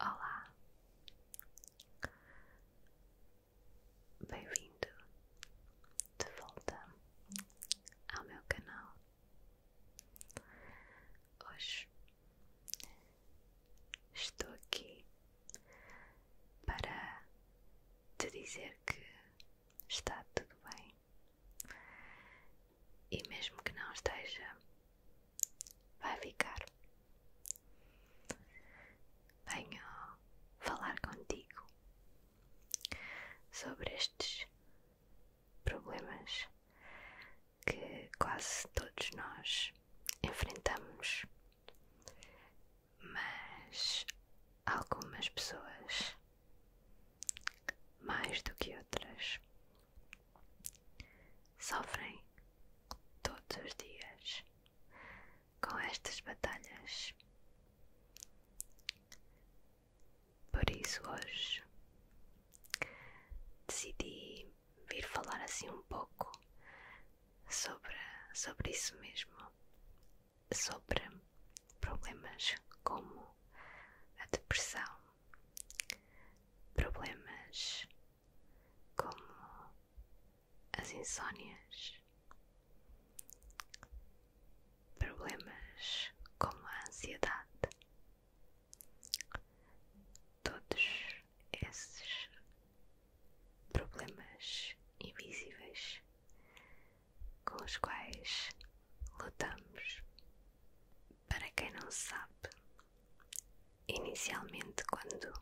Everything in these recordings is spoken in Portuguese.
Olá, bem-vindo de volta ao meu canal. Hoje estou aqui para te dizer que está tudo bem e mesmo que não esteja, vai ficar. Venho falar contigo sobre estes problemas que quase todos nós enfrentamos mas algumas pessoas mais do que outras sofrem todos os dias com estas batalhas. Por isso hoje decidi vir falar assim um pouco sobre, sobre isso mesmo, sobre problemas como a depressão, problemas como as insónias, problemas como a ansiedade. Todos esses problemas invisíveis com os quais lutamos. Para quem não sabe, inicialmente quando,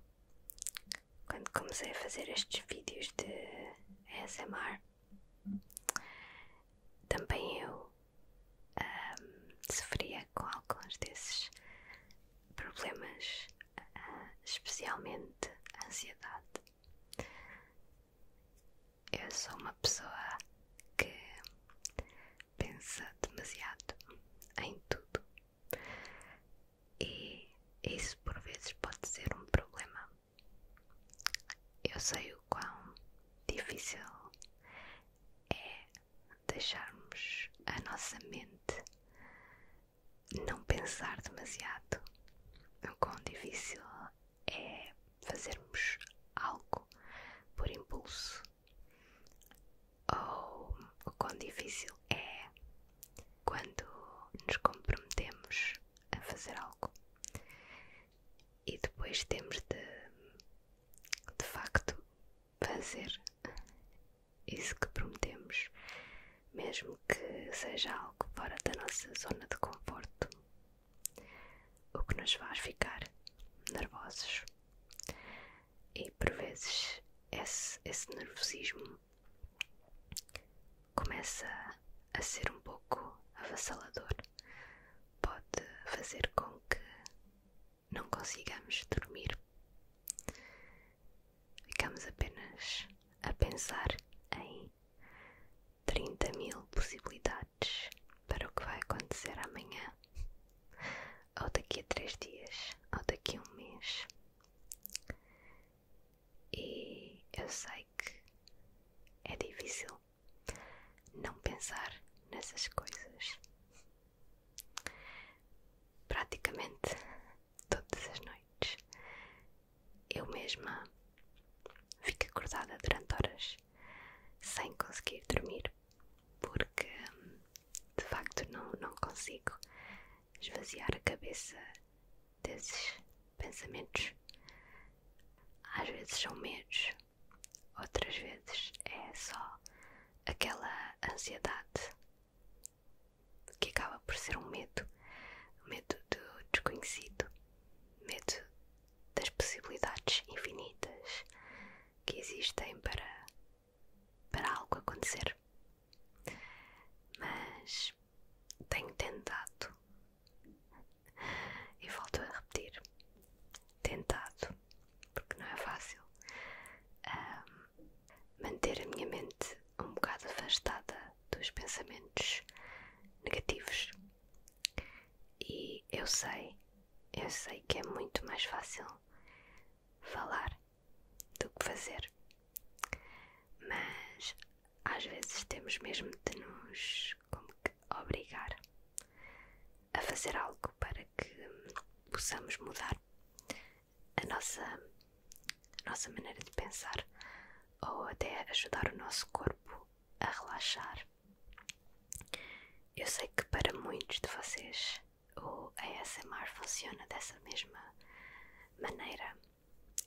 quando comecei a fazer estes vídeos de ASMR, também eu sofria com alguns desses problemas, ah, especialmente ansiedade. Eu sou uma pessoa que pensa demasiado em tudo e isso por vezes pode ser um problema. Eu sei o quão difícil é deixarmos a nossa mente não pensar demasiado. O quão difícil é fazermos algo por impulso, ou o quão difícil é quando nos comprometemos a fazer algo e depois temos de, de facto, fazer isso que prometemos, mesmo que seja algo fora da nossa zona de conforto, o que nos faz ficar nervosos. E por vezes esse, nervosismo começa a ser um pouco avassalador, pode fazer com que não consigamos dormir ficamos apenas a pensar em 30 mil possibilidades para o que vai acontecer amanhã, ou daqui a três dias, ou daqui a um mês. E eu sei que é difícil não pensar nessas coisas, praticamente todas as noites. Eu mesma fico acordada durante horas sem conseguir dormir porque de facto não, não consigo esvaziar a cabeça desses pensamentos. Às vezes são medos, outras vezes é só aquela ansiedade que acaba por ser um medo, medo do desconhecido, medo das possibilidades infinitas que existem para, para algo acontecer. Mas tenho tentado, e volto a repetir: tentado porque não é fácil manter a minha mente um bocado afastada dos pensamentos negativos. E eu sei, eu sei que é muito mais fácil falar do que fazer, mas às vezes temos mesmo de nos como que obrigar a fazer algo para que possamos mudar a nossa, nossa maneira de pensar ou até ajudar o nosso corpo a relaxar. Eu sei que para muitos de vocês o ASMR funciona dessa mesma maneira.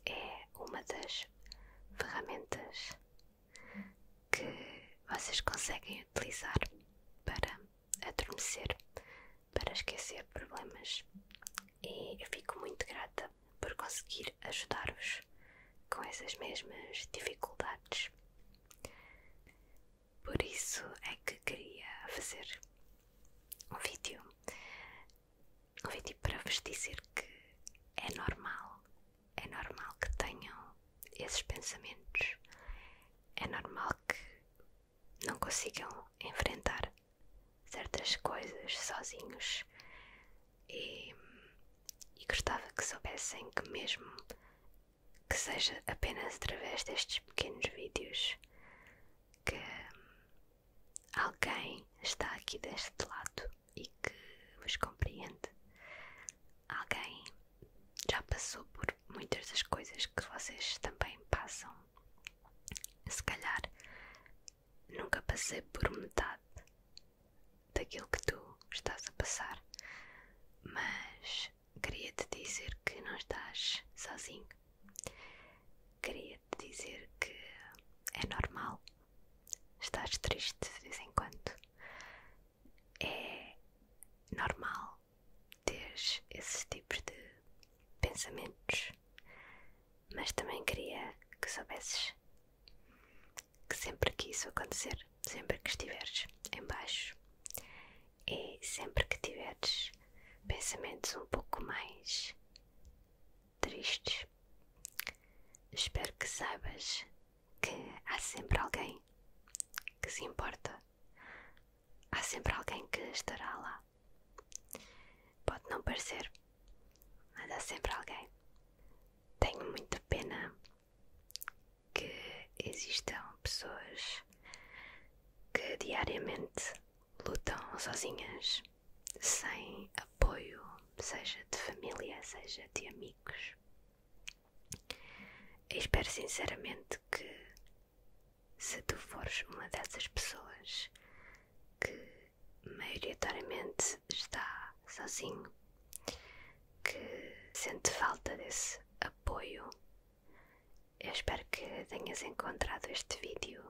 É uma das ferramentas que vocês conseguem utilizar para adormecer para esquecer problemas e eu fico muito grata por conseguir ajudar-vos com essas mesmas dificuldades. Por isso é que queria fazer um vídeo, um vídeo para vos dizer que é normal, é normal que tenham esses pensamentos, é normal que não consigam enfrentar certas coisas sozinhos e, gostava que soubessem que mesmo que seja apenas através destes pequenos vídeos que alguém está aqui deste lado e que vos compreende alguém já passou por muitas das coisas que vocês também passam. Se calhar nunca passei por metade daquilo que tu estás a passar, mas queria te dizer que não estás sozinho. Queria te dizer que é normal. Estás triste de vez em quando. É normal normal ter esses tipos de pensamentos, mas também queria que soubesses que sempre que isso acontecer, sempre que estiveres em baixo e sempre que tiveres pensamentos um pouco mais tristes, espero que saibas que há sempre alguém que se importa há sempre alguém que estará lá. Pode não parecer, mas há sempre alguém. Tenho muita pena que existam pessoas que diariamente lutam sozinhas, sem apoio, seja de família, seja de amigos, eu espero sinceramente que, se tu fores uma dessas pessoas que maioritariamente está sozinho, que sente falta desse apoio, eu espero que tenhas encontrado este vídeo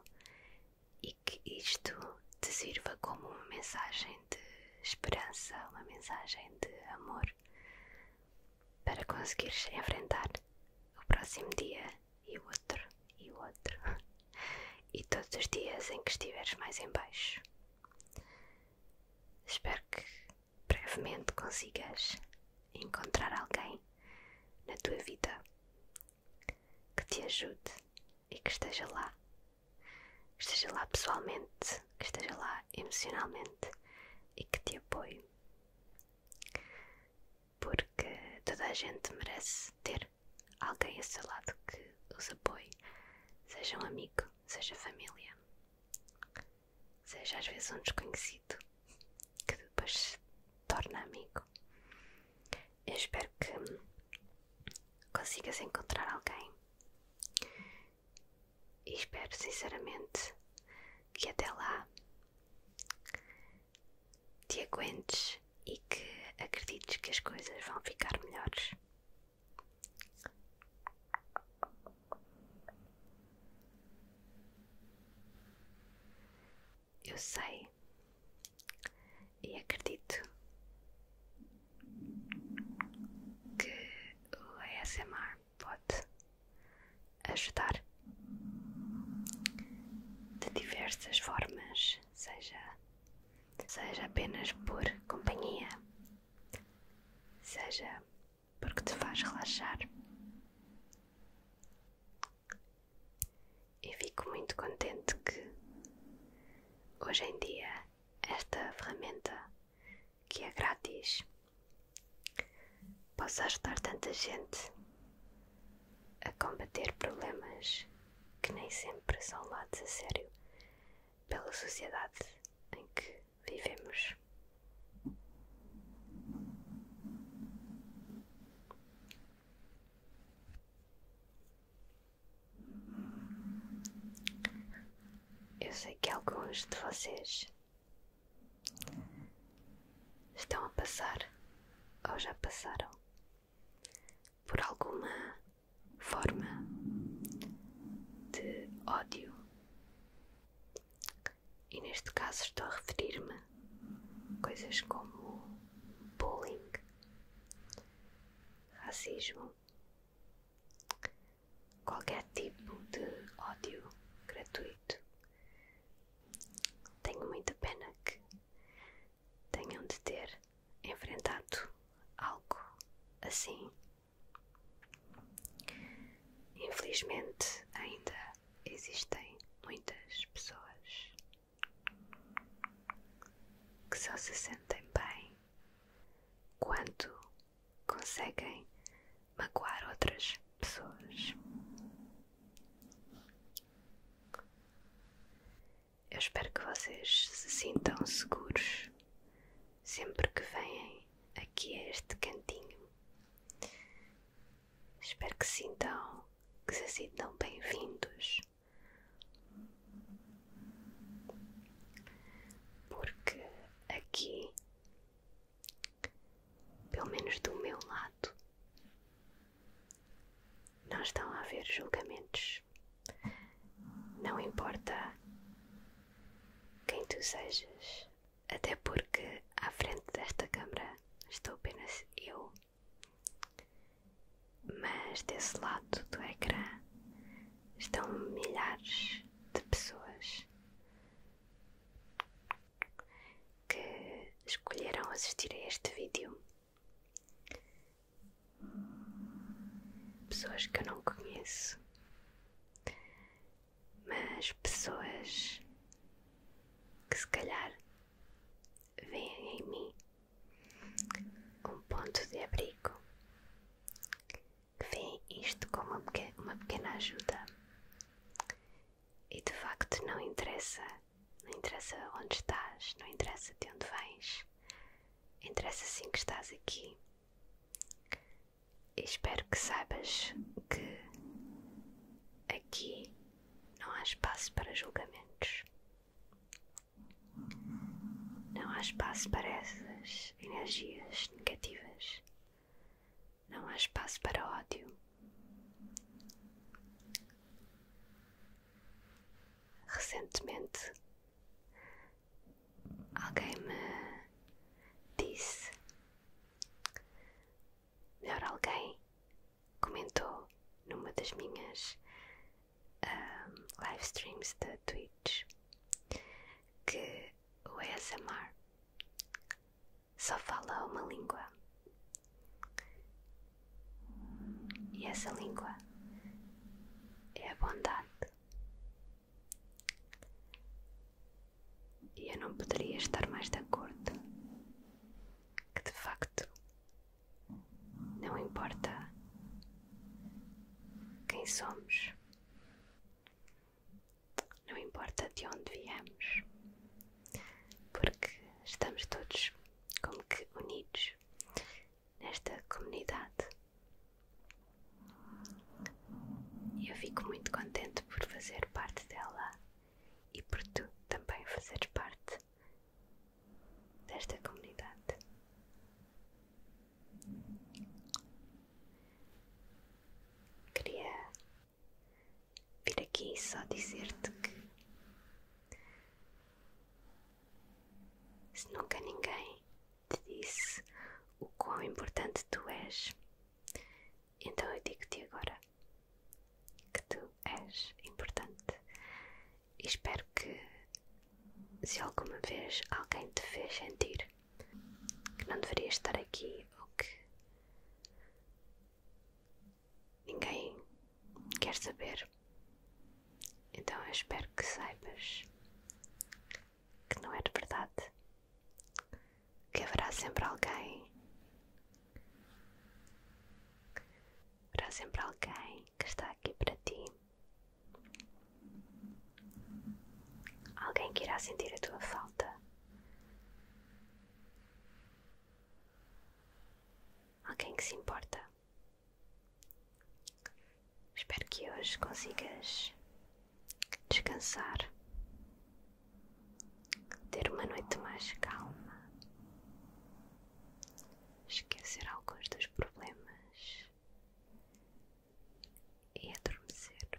e que isto te sirva como uma mensagem de esperança, uma mensagem de amor para conseguires enfrentar o próximo dia e o outro e o outro e todos os dias em que estiveres mais em baixo. Espero que brevemente consigas encontrar alguém na tua vida que te ajude e que esteja lá. Que esteja lá pessoalmente, que esteja lá emocionalmente, e que te apoie, porque toda a gente merece ter alguém a seu lado que os apoie, seja um amigo, seja família, seja às vezes um desconhecido que depois se torna amigo. Eu espero que consigas encontrar alguém e espero sinceramente que até lá te aguentes e que acredites que as coisas vão ficar melhores. Eu sei e acredito que o ASMR pode ajudar de diversas formas, seja, seja apenas por companhia, seja porque te faz relaxar. E fico muito contente que hoje em dia esta ferramenta que é grátis. Posso ajudar tanta gente a combater problemas que nem sempre são lados a sério pela sociedade em que vivemos. Eu sei que alguns de vocês estão a passar ou já passaram por alguma forma de ódio, e neste caso estou a referir-me a coisas como bullying, racismo, qualquer tipo de ódio gratuito. Tenho muita pena que tenham de ter enfrentado algo assim. Infelizmente, ainda existem muitas pessoas que só se sentem bem quando conseguem magoar outras pessoas. Eu espero que vocês se sintam seguros sempre que vêm aqui a este cantinho. Espero que sintam que se sintam bem-vindos. Porque aqui, pelo menos do meu lado, não estão a haver julgamentos. Não importa quem tu sejas, até porque à frente desta câmara estou apenas eu, mas desse lado do ecrã estão milhares de pessoas que escolheram assistir a este vídeo. Pessoas que eu não conheço, mas pessoas que se calhar veem em mim um ponto de abrigo veem isto como uma pequena ajuda. E de facto não interessa, não interessa onde estás, não interessa de onde vens, interessa sim que estás aqui. E espero que saibas que aqui não há espaço para julgamentos, não há espaço para essas energias negativas. Não há espaço para ódio. Recentemente, alguém me disse, melhor, alguém comentou numa das minhas um, ah, live streams da Twitch que o ASMR só fala uma língua e essa língua é a bondade. E eu não poderia estar mais de acordo que de facto não importa quem somos. Não importa de onde viemos, porque estamos todos como que unidos nesta comunidade. E eu fico muito contente por fazer parte dela e por tu também fazeres parte desta comunidade. Queria vir aqui e só dizer-te que se nunca ninguém te disse o quão importante tu és, então eu digo-te agora que tu és importante e espero que se alguma vez alguém te fez sentir que não deverias estar aqui ou que ninguém quer saber, então eu espero que saibas que não é de verdade, que haverá sempre alguém. Haverá sempre alguém que está aqui para ti Alguém que irá sentir a tua falta. Alguém que se importa. Espero que hoje consigas descansar, ter uma noite mais calma, esquecer alguns dos problemas e adormecer.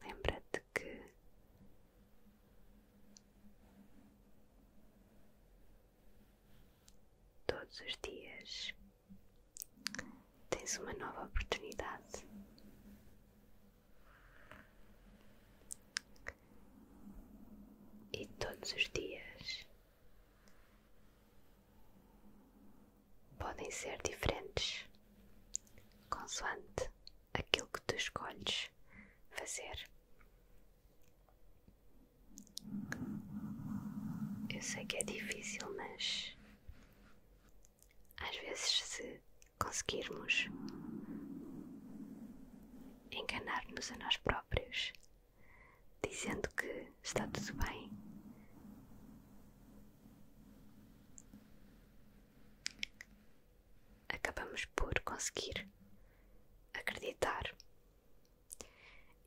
Lembra-te que todos os dias tens uma nova oportunidade e todos os dias podem ser diferentes consoante aquilo que tu escolhes fazer. Eu sei que é difícil, mas às vezes, se conseguirmos enganar-nos a nós próprios, dizendo que está tudo bem. Acabamos por conseguir acreditar.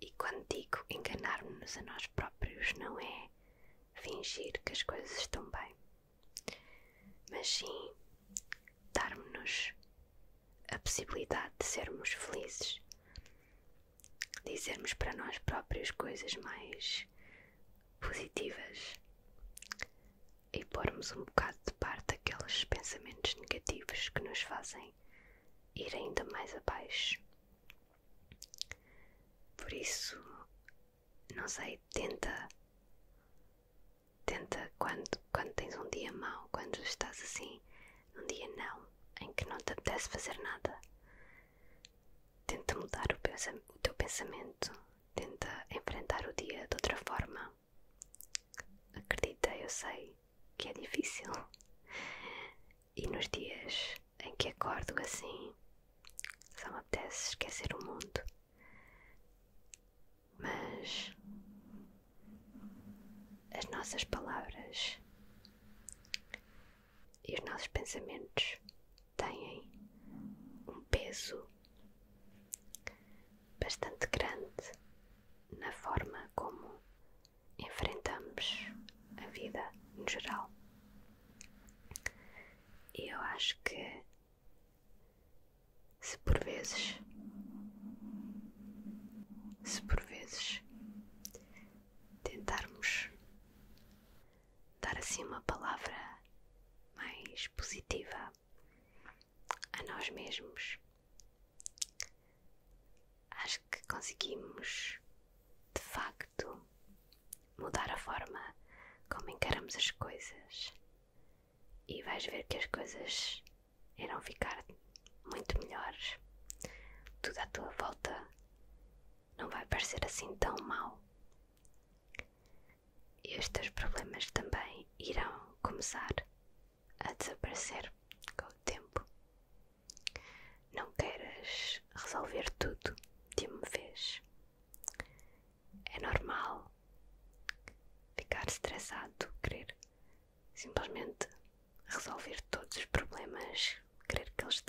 E quando digo enganar-nos a nós próprios, não é fingir que as coisas estão bem, mas sim darmos-nos a possibilidade de sermos felizes, dizermos para nós próprios coisas mais positivas e pormos um bocado de parte aqueles pensamentos negativos que nos fazem ir ainda mais abaixo. Por isso, não sei, tenta tenta quando, quando tens um dia mau, quando estás assim, num dia não, em que não te apetece fazer nada, tenta mudar o teu pensamento, tenta enfrentar o dia de outra forma. Acredita, eu sei que é difícil. E nos dias em que acordo assim, só me apetece esquecer o mundo mas as nossas palavras e os nossos pensamentos têm um peso bastante grande na forma como enfrentamos a vida no geral. E eu acho que se por vezes, se por vezes tentarmos dar assim uma palavra mais positiva a nós mesmos, acho que conseguimos de facto mudar a forma como encaramos as coisas e vais ver que as coisas irão ficar muito melhores. Tudo à tua volta não vai parecer assim tão mal. estes problemas também irão começar a desaparecer com o tempo. Não queiras resolver tudo de uma vez. É normal ficar estressado, querer simplesmente resolver todos os problemas, querer que eles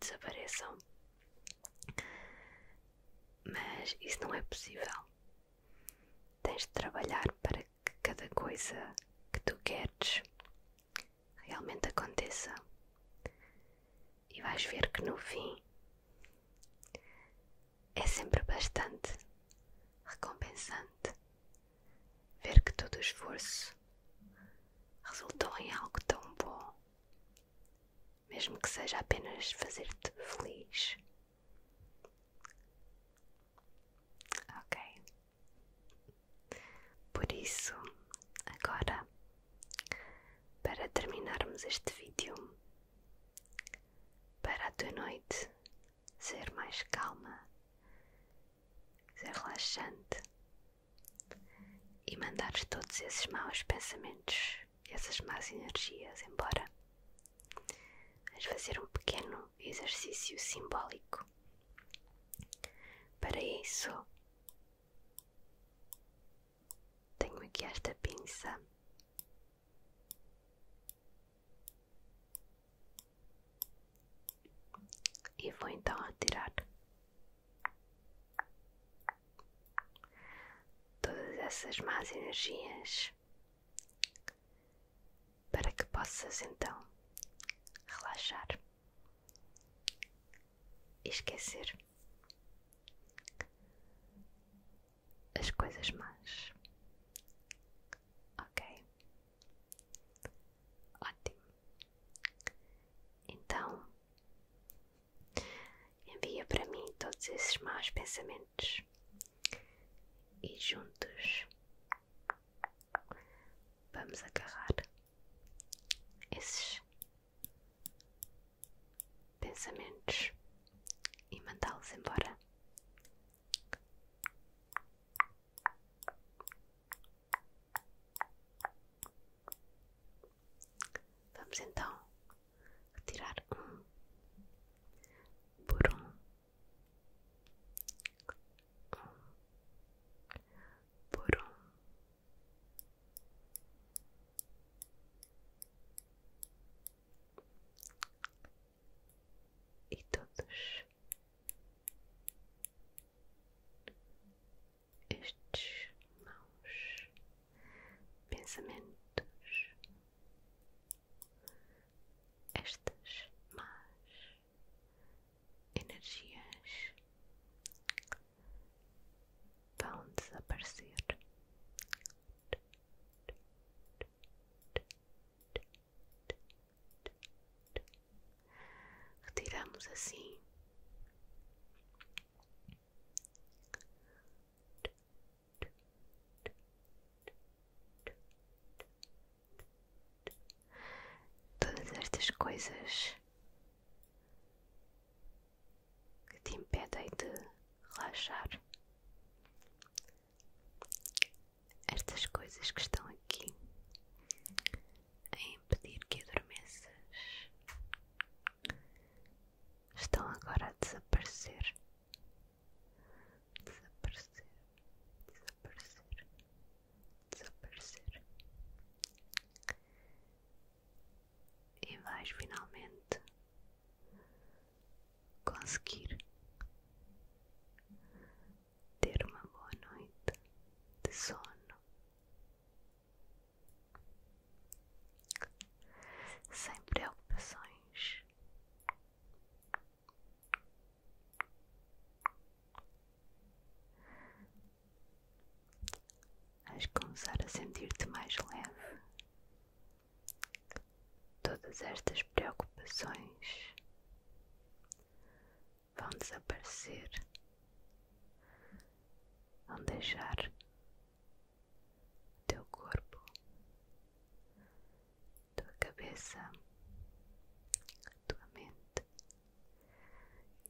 desapareçam. Mas isso não é possível. Tens de trabalhar para que cada coisa que tu queres realmente aconteça. E vais ver que no fim é sempre bastante recompensante ver que todo o esforço resultou em algo tão bom, mesmo que seja apenas fazer-te feliz. Ok. Por isso, agora, para terminarmos este vídeo, para a tua noite ser mais calma, ser relaxante e mandares todos esses maus pensamentos, essas más energias embora. Vais fazer um pequeno exercício simbólico. Para isso, tenho aqui esta pinça. E vou então retirar todas essas más energias para que possas então relaxar e esquecer as coisas más. Ok? Ótimo. Então, envia para mim todos esses maus pensamentos e juntos vamos agarrar esses pensamentos e mandá-los embora. Vamos então retirar um por um, por Um e todos estes maus pensamentos, estas más energias vão desaparecer. Retiramos assim. Todas estas coisas que te impedem de relaxar. Estas coisas que estão aqui a impedir que adormeças estão agora a desaparecer. Desaparecer, desaparecer, desaparecer e vais finalmente conseguir ter uma boa noite de sono. Sem preocupações, vais começar a sentir-te mais leve. Todas estas preocupações vão desaparecer, vão deixar o teu corpo, a tua cabeça, a tua mente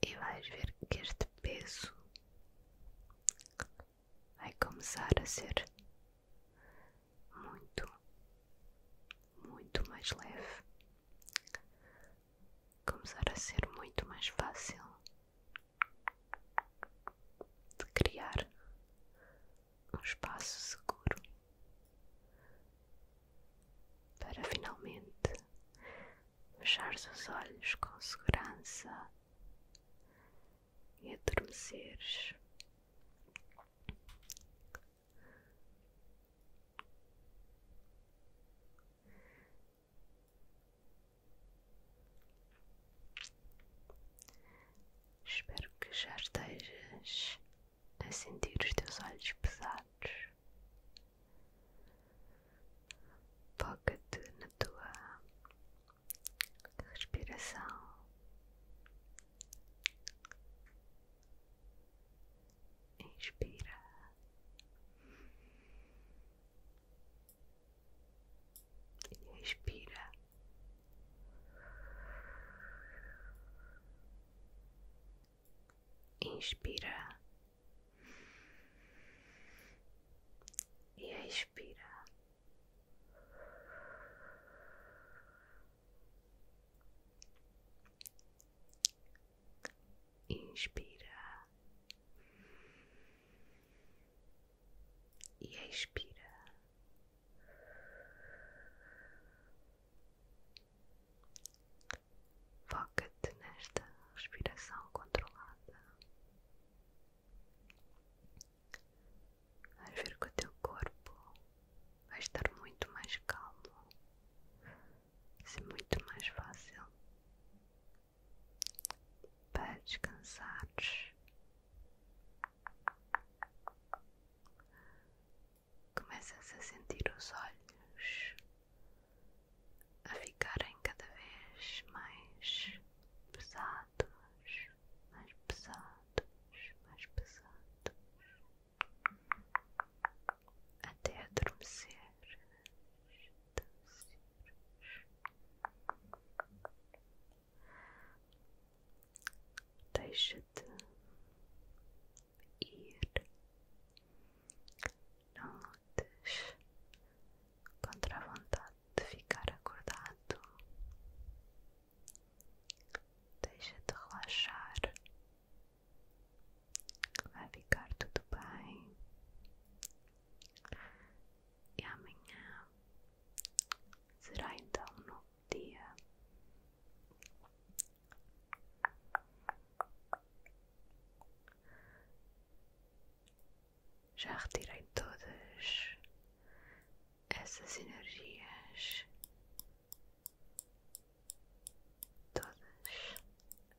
e vais ver que este peso vai começar a ser muito, muito mais leve, começar a ser muito mais fácil de criar um espaço seguro para finalmente fechar os olhos com segurança e adormeceres. Espero que já estejas a sentir os teus olhos pesados Foca-te na tua respiração inspira e expira inspira e expira. Inspira e expira. Foca-te nesta respiração controlada. Vais ver que o teu corpo vai estar muito mais calmo, ser muito mais fácil para descansares. Começas a sentir os olhos a ficarem cada vez mais pesados, mais pesados, mais pesados, até adormecer. Deixa-te ir, notas contra a vontade de ficar acordado. Deixa-te relaxar. Vai ficar tudo bem. E amanhã será então um novo dia já retirei todas essas energias, todas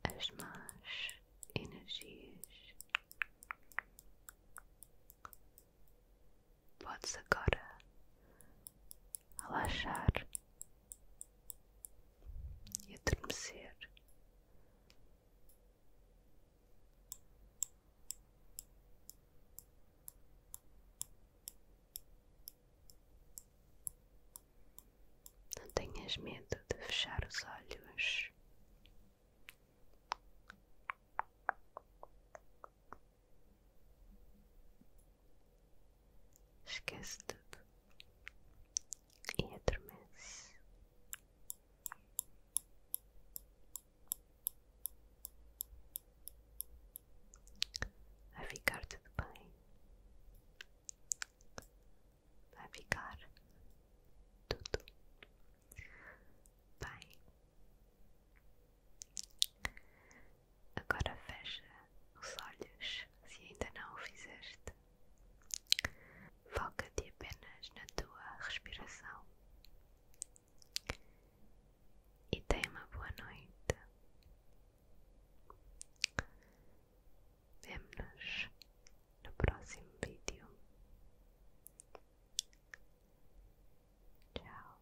as más energias. Podes agora relaxar e adormecer não tenhas medo de fechar os olhos. Esquece tudo e adormece. Vai ficar tudo bem. Vai ficar tudo bem. Agora fecha os olhos se ainda não o fizeste. Foca-te apenas na tua respiração e tenha uma boa noite. Vemo-nos no próximo vídeo. Tchau.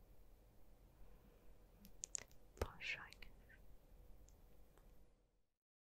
Bons sonhos.